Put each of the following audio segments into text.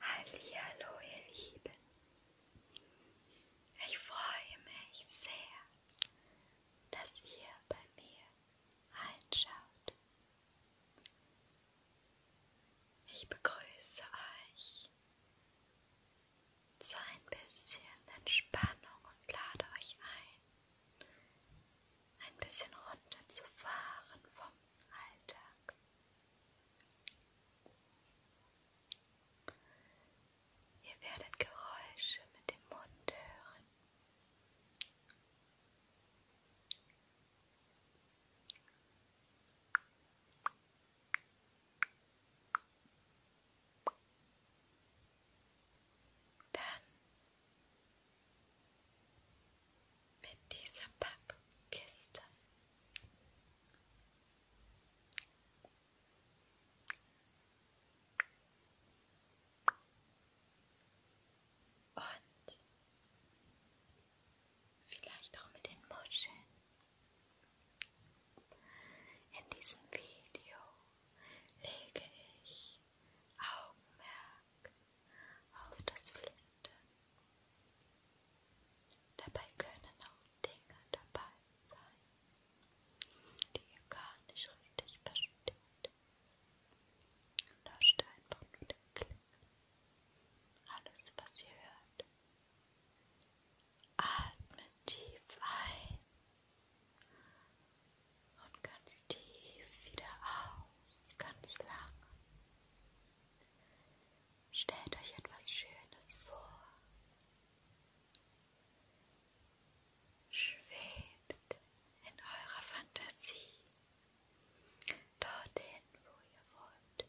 Hallihallo, ihr Lieben. Ich freue mich sehr, dass ihr bei mir reinschaut. Ich begrüße euch zu ein bisschen Entspannung und lade euch ein, ein bisschen runterzufahren vom Alltag Ihr werdet Geräusche mit dem Mund hören. Dann mit dieser Pappkiste. Und vielleicht auch mit den Muscheln. In diesem Video lege ich Augenmerk auf das Flüstern. Dabei können auch Dinge dabei sein, die ihr gar nicht richtig versteht. Lauscht einfach nur den Klick. Alles, was ihr hört. Atmet tief ein und ganz tief wieder aus, ganz lang. Stellt euch etwas Schönes vor. Schwebt in eurer Fantasie dorthin, wo ihr wollt.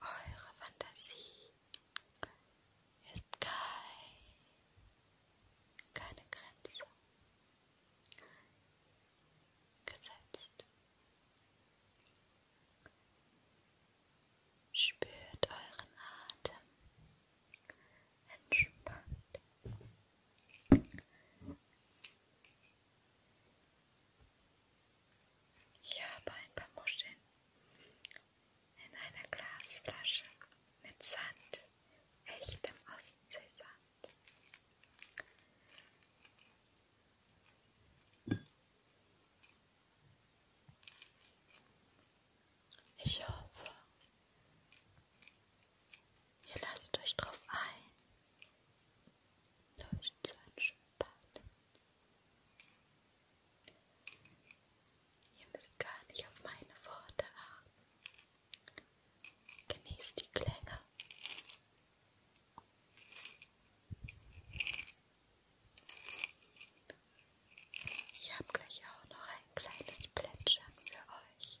Eure Fantasie ist kein, keine Grenze gesetzt. Spürt euren Atem entspannt. Ich habe ein paar Muscheln in einer Glasflasche mit Sand, echtem Ostseesand. Ich hoffe, ihr lasst euch drauf ein, durch zu entspannen. Ihr müsst gar nicht auf meine Worte achten. Genießt die Klänge. Ich habe gleich auch noch ein kleines Plätschern für euch.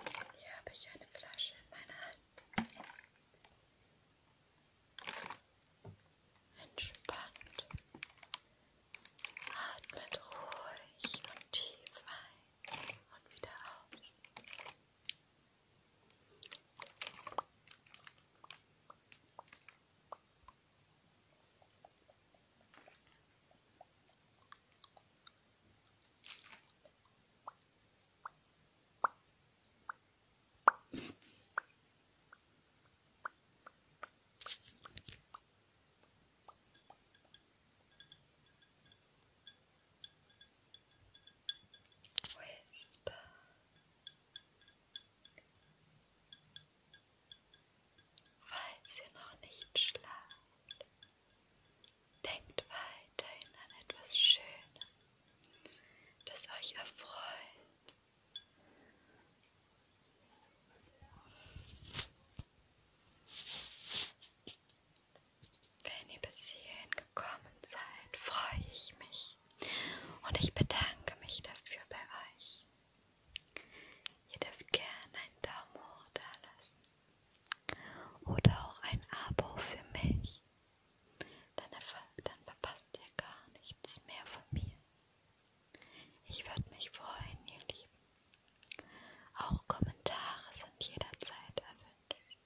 Hier habe ich eine Flasche in meiner Hand. Entspannt. Atmet ruhig und tief ein und wieder aus. Whisper. Falls ihr noch nicht schlaft. Denkt weiterhin an etwas Schönes, das euch erfreut. Wenn ihr bis hierhin gekommen seid, freue ich mich und ich bedanke mich dafür bei euch. Ihr dürft gerne einen Daumen hoch da lassen oder auch ein Abo für mich. Dann, dann verpasst ihr gar nichts mehr von mir. Ich würde mich freuen, ihr Lieben. Auch Kommentare sind jederzeit erwünscht.